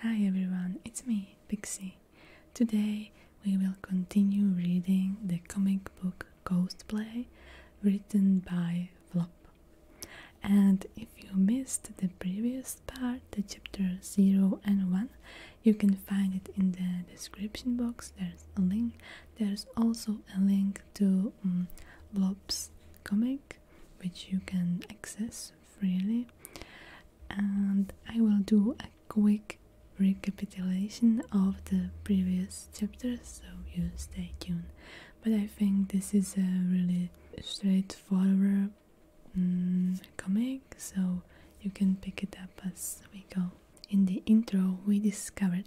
Hi everyone, it's me, Pixie. Today we will continue reading the comic book Ghost Play written by Flop. And if you missed the previous part, the chapter 0 and 1, you can find it in the description box. There's a link. There's also a link to mm, Flop's comic, which you can access freely and I will do a quick recapitulation of the previous chapters so you stay tuned but I think this is a really straightforward mm, comic so you can pick it up as we go in the intro we discovered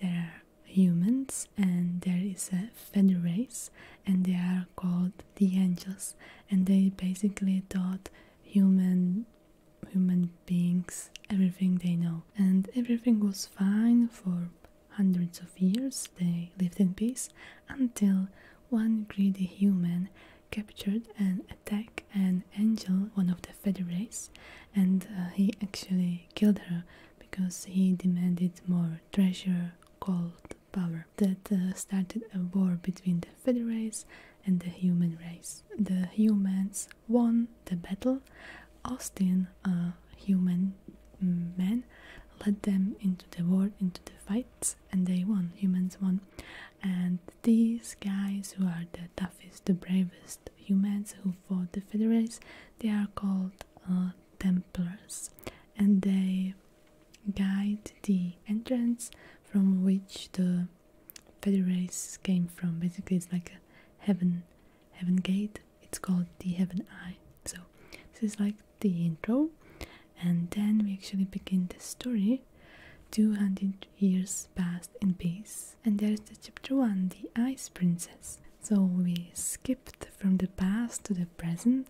there are humans and there is a feather race and they are called the angels and they basically taught human human beings everything they know and everything was fine for hundreds of years they lived in peace until one greedy human captured and attacked an angel one of the federates and uh, he actually killed her because he demanded more treasure gold power that uh, started a war between the Fed and the human race. The humans won the battle. Austin, a human mm, man, led them into the war, into the fights, and they won. Humans won. And these guys, who are the toughest, the bravest humans who fought the Fed they are called uh, Templars, and they guide the entrance from which the Federals came from. Basically, it's like a heaven, heaven gate. It's called the heaven eye. So this is like the intro, and then we actually begin the story. 200 years passed in peace, and there's the chapter 1 The Ice Princess. So we skipped from the past to the present,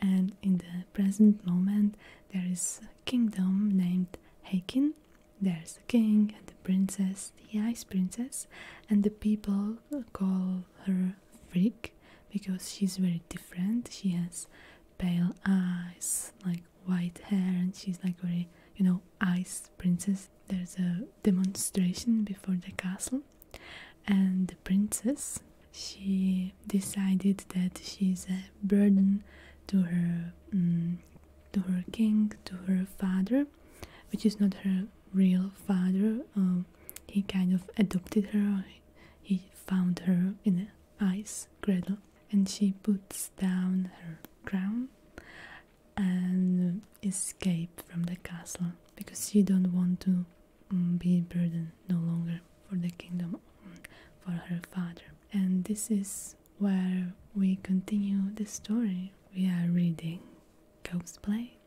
and in the present moment there is a kingdom named Heikin. There's a king and a princess, the ice princess, and the people call her Freak because she's very different. She has pale eyes, like white hair, and she's like very, you know, ice princess. There's a demonstration before the castle, and the princess she decided that she's a burden to her mm, to her king to her father which is not her real father um, he kind of adopted her he found her in an ice cradle and she puts down her crown and escape from the castle because she don't want to Mm, be burdened no longer for the kingdom for her father. And this is where we continue the story. We are reading Ghost Blade,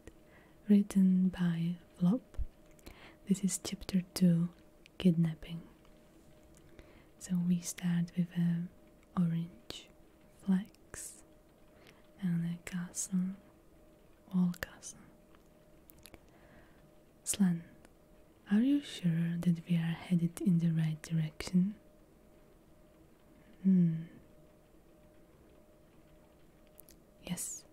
written by Vlop. This is chapter 2 Kidnapping. So we start with a orange flex, and a castle Wolgason. are you sure that we are headed in the right direction? Hmm. Yes,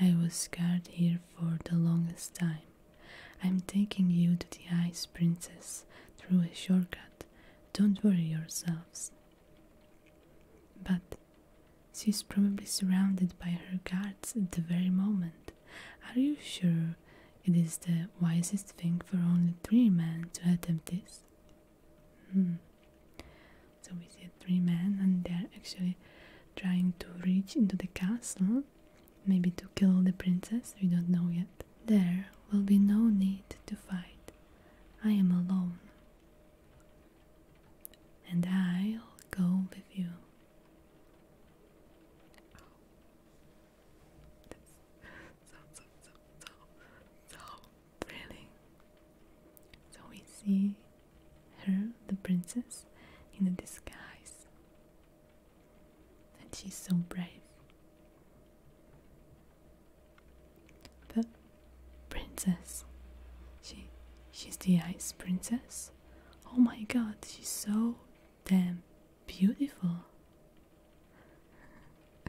I was scared here for the longest time. I'm taking you to the Ice Princess through a shortcut. Don't worry yourselves. But she is probably surrounded by her guards at the very moment. Are you sure it is the wisest thing for only three men to attempt this? Hmm. So we see three men, and they are actually trying to reach into the castle, maybe to kill the princess. We don't know yet. There will be no need to fight. I am alone and I'll go with you. so, so, so, so, so thrilling. So we see her, the princess, in a disguise. And she's so brave. The princess. She she's the ice princess. Oh my god, she's so damn beautiful.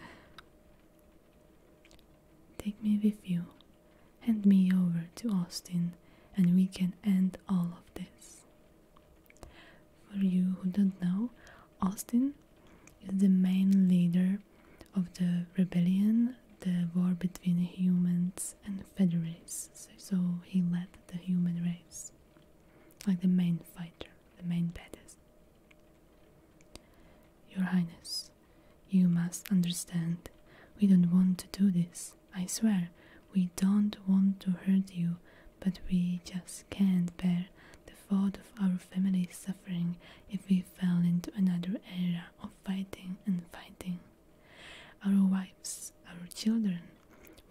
Take me with you. Hand me over to Austin and we can end all of this. For you who don't know, Austin is the main leader of the rebellion, the war between humans and federates. So, he led the human race, like the main fighter, the main badass. Your Highness, you must understand. We don't want to do this. I swear, we don't want to hurt you, but we just can't bear the thought of our family suffering if we fell into another era of fighting and fighting. Our wives, our children,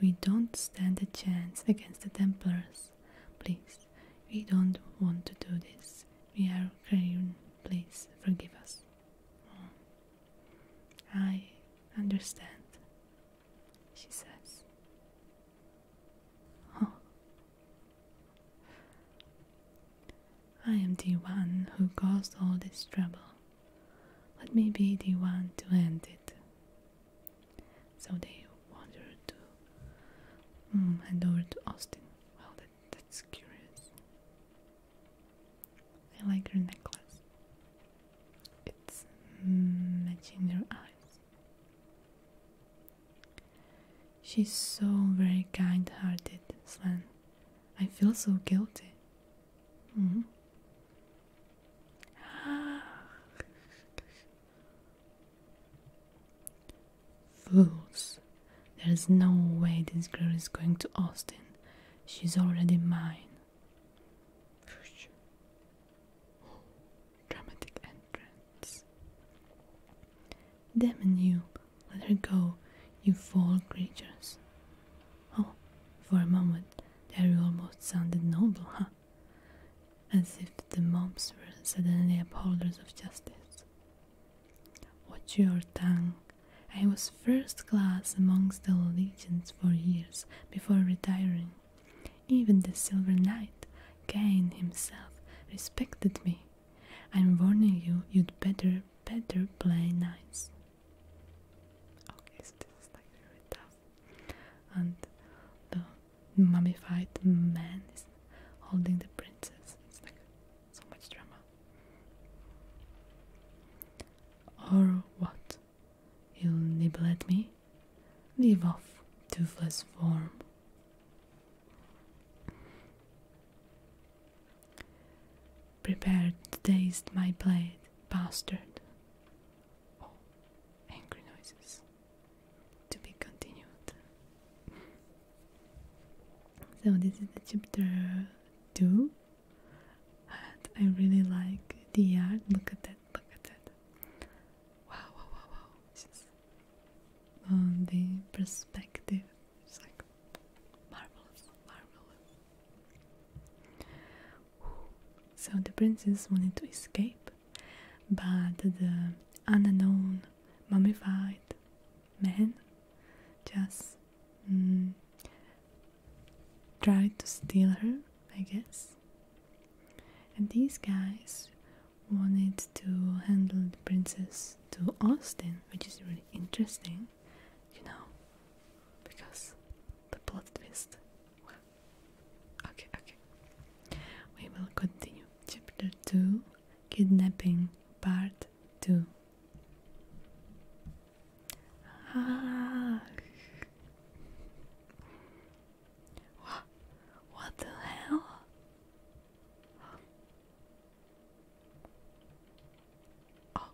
we don't stand a chance against the Templars. Please, we don't want to do this. We are crying. Please forgive us. Oh. I understand, she says. Oh, I am the one who caused all this trouble. Let me be the one to end it. So they wandered to hand mm, over to Austin. Well, that, that's curious. I like your necklace. It's mm, matching your eyes. She's so very kind hearted, Sven. I feel so guilty. Mm-hmm. Fools. There's no way this girl is going to Austin. She's already mine. Dramatic entrance hands. Damn you, let her go, you foul creatures. Oh, for a moment there almost sounded noble, huh? As if the mobs were suddenly upholders of justice. Watch your tongue. I was first class amongst the legions for years before retiring. Even the Silver Knight, Cain himself, respected me I'm warning you, you'd better, better play nice. Okay, so this is like really tough. And the mummified man is holding the princess. It's like so much drama. Or what? You'll nibble at me? Leave off, toothless form. Prepare to taste my blade, bastard. angry noises. To be continued. So this is the chapter two. And I really like the art. Look at that, look at that. Wow, wow, wow, wow on um, the perspective. It's like marvelous, marvelous. So the princess wanted to escape, but the unknown mummified man just mm, tried to steal her, I guess. And these guys wanted to handle the princess to Austin, which is really interesting, you know, because the plot twist. Well, okay, okay. We will continue. Chapter 2 Kidnapping, Part 2. Ah. What the hell? Oh,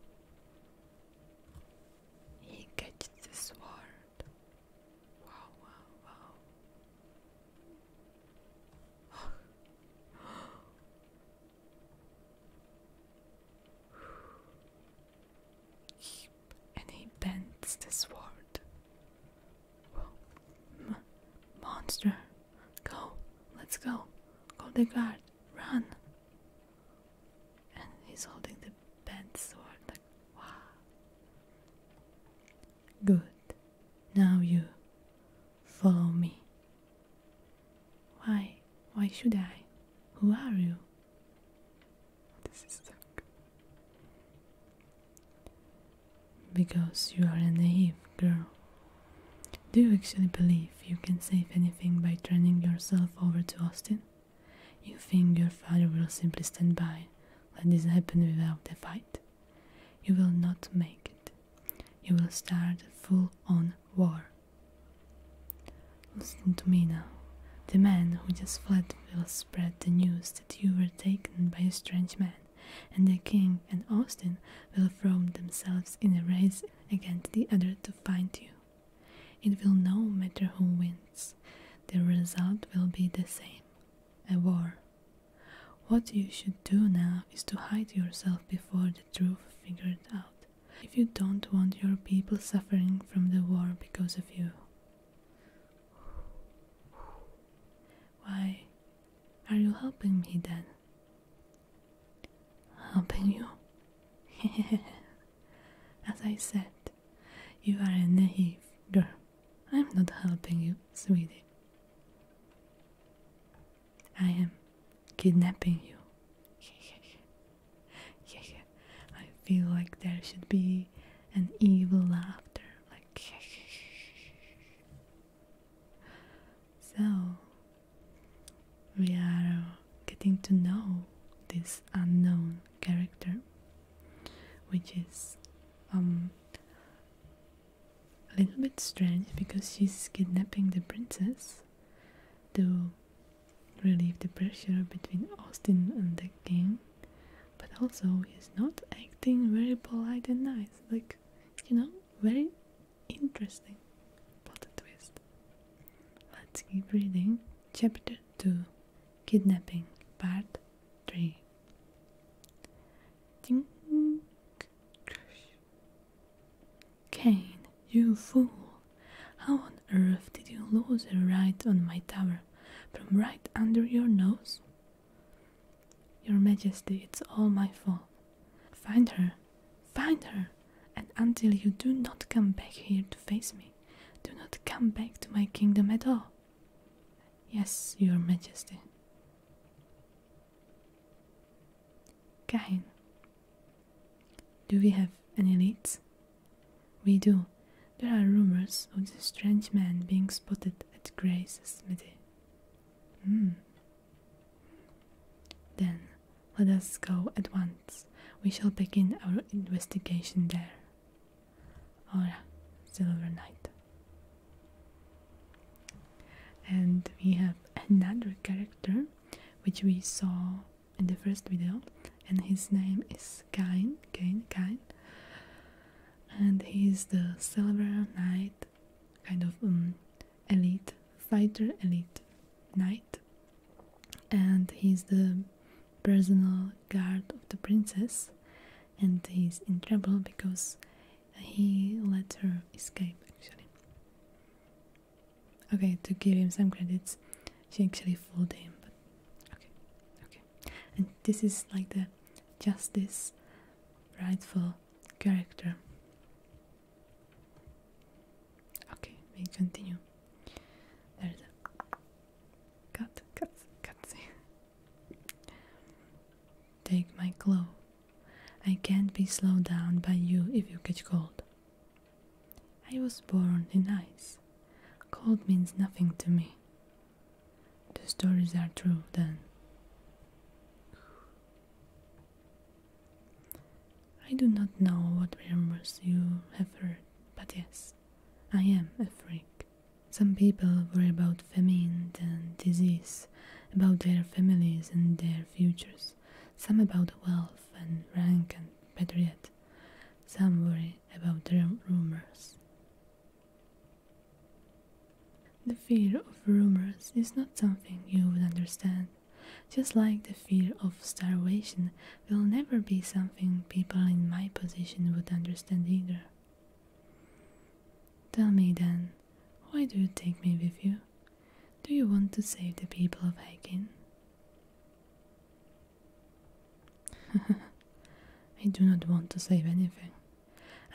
he catches the sword. Wow, wow, wow. and he bends the sword monster. Go. Let's go. Call the guard. Run. And he's holding the bent sword. wow. Good. Now you follow me. Why? Why should I? Who are you? This is because you are a naive girl. Do you actually believe you can save anything by turning yourself over to Austin? You think your father will simply stand by, let this happen without a fight? You will not make it. You will start a full on war. Listen to me now. The man who just fled will spread the news that you were taken by a strange man, and the king and Austin will throw themselves in a race against the other to find you. It will no matter who wins, the result will be the same a war. What you should do now is to hide yourself before the truth figured out, if you don't want your people suffering from the war because of you. Why are you helping me then? Helping you? As I said, you are a naive girl. I'm not helping you, sweetie. I am kidnapping you. I feel like there should be and evil laughter, like. so, we are uh, getting to know this unknown character, which is um, a little bit strange because she's kidnapping the princess to relieve the pressure between Austin and the king. But also, he's not acting very polite and nice, like, you know, very interesting plot twist. Let's keep reading. Chapter 2 Kidnapping, Part 3. Ding. Kane, you fool! How on earth did you lose a ride on my tower from right under your nose? Your Majesty, it's all my fault. Find her, find her, and until you do not come back here to face me, do not come back to my kingdom at all. Yes, Your Majesty. Kahin, do we have any leads? We do. There are rumors of the strange man being spotted at Grace's smithy. Hmm. Then let us go at once. We shall begin our investigation there. Ah, Silver Knight. And we have another character which we saw in the first video and his name is Kain, Kain, Kain and he's the silver knight kind of um, elite fighter elite knight and he's the personal guard of the princess and he's in trouble because he let her escape actually okay to give him some credits she actually fooled him Okay, okay. And this is like the justice rightful character. Okay, we continue. There's a cut, cut, cut. Take my cloak. I can't be slowed down by you if you catch cold. I was born in ice. Cold means nothing to me. The stories are true then. I do not know what rumors you have heard, but yes, I am a freak. Some people worry about famine and disease, about their families and their futures, some about wealth and rank and better some worry about the rumors. The fear of rumors is not something you would understand, just like the fear of starvation will never be something people in my position would understand either. Tell me then, why do you take me with you? Do you want to save the people of Aiken? I do not want to save anything.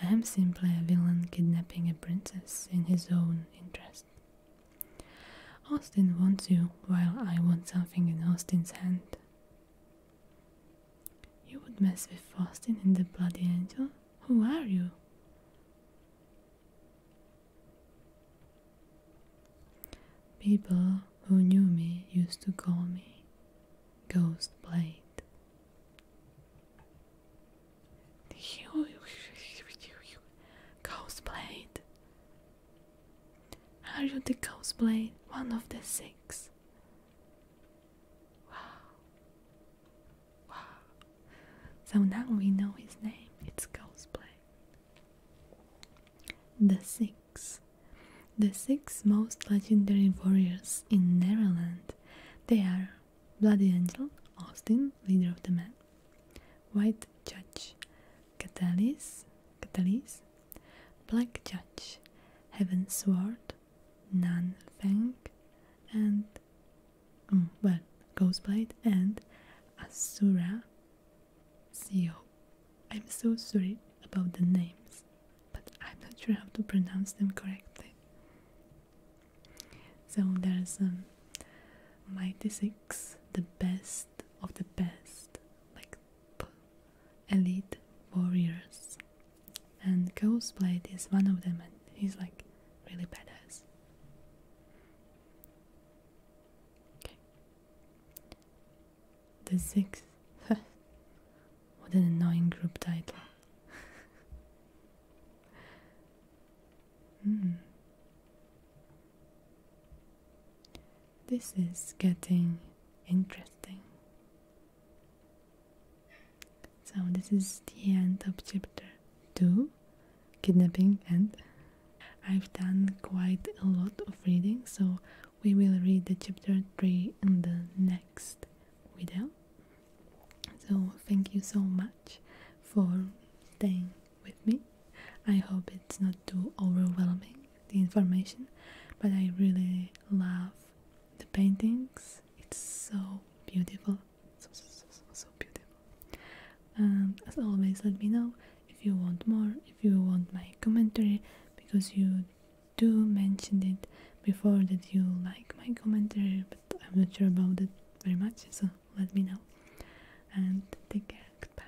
I am simply a villain kidnapping a princess in his own interest. Austin wants you, while I want something in Austin's hand. You would mess with Austin and the Bloody Angel? Who are you? People who knew me used to call me Ghost Blade. Ghost Blade. Are you the Ghost Blade? One of the six. Wow. Wow. So now we know his name. It's Ghost Blade. The Six. The six most legendary warriors in Neverland. They are Bloody Angel, Austin, leader of the men, White Judge, Catalis, Catalis, Black Judge, Heaven Sword, Nan Fang, and mm, well, Ghostblade and Asura CEO. I'm so sorry about the names, but I'm not sure how to pronounce them correctly. So there's um, Mighty Six, the best of the best, like elite warriors, and Ghostblade is one of them, and he's like really badass. The sixth. what an annoying group title. Hmm. This is getting interesting. So, this is the end of chapter 2 kidnapping and I've done quite a lot of reading so we will read the chapter 3 in the next video so thank you so much for staying with me I hope it's not too overwhelming the information but I really love the paintings it's so beautiful so so, so beautiful as always let me know if you want more if you want my commentary because you do mentioned it before that you like my commentary but I'm not sure about it very much so let me know and take care Bye.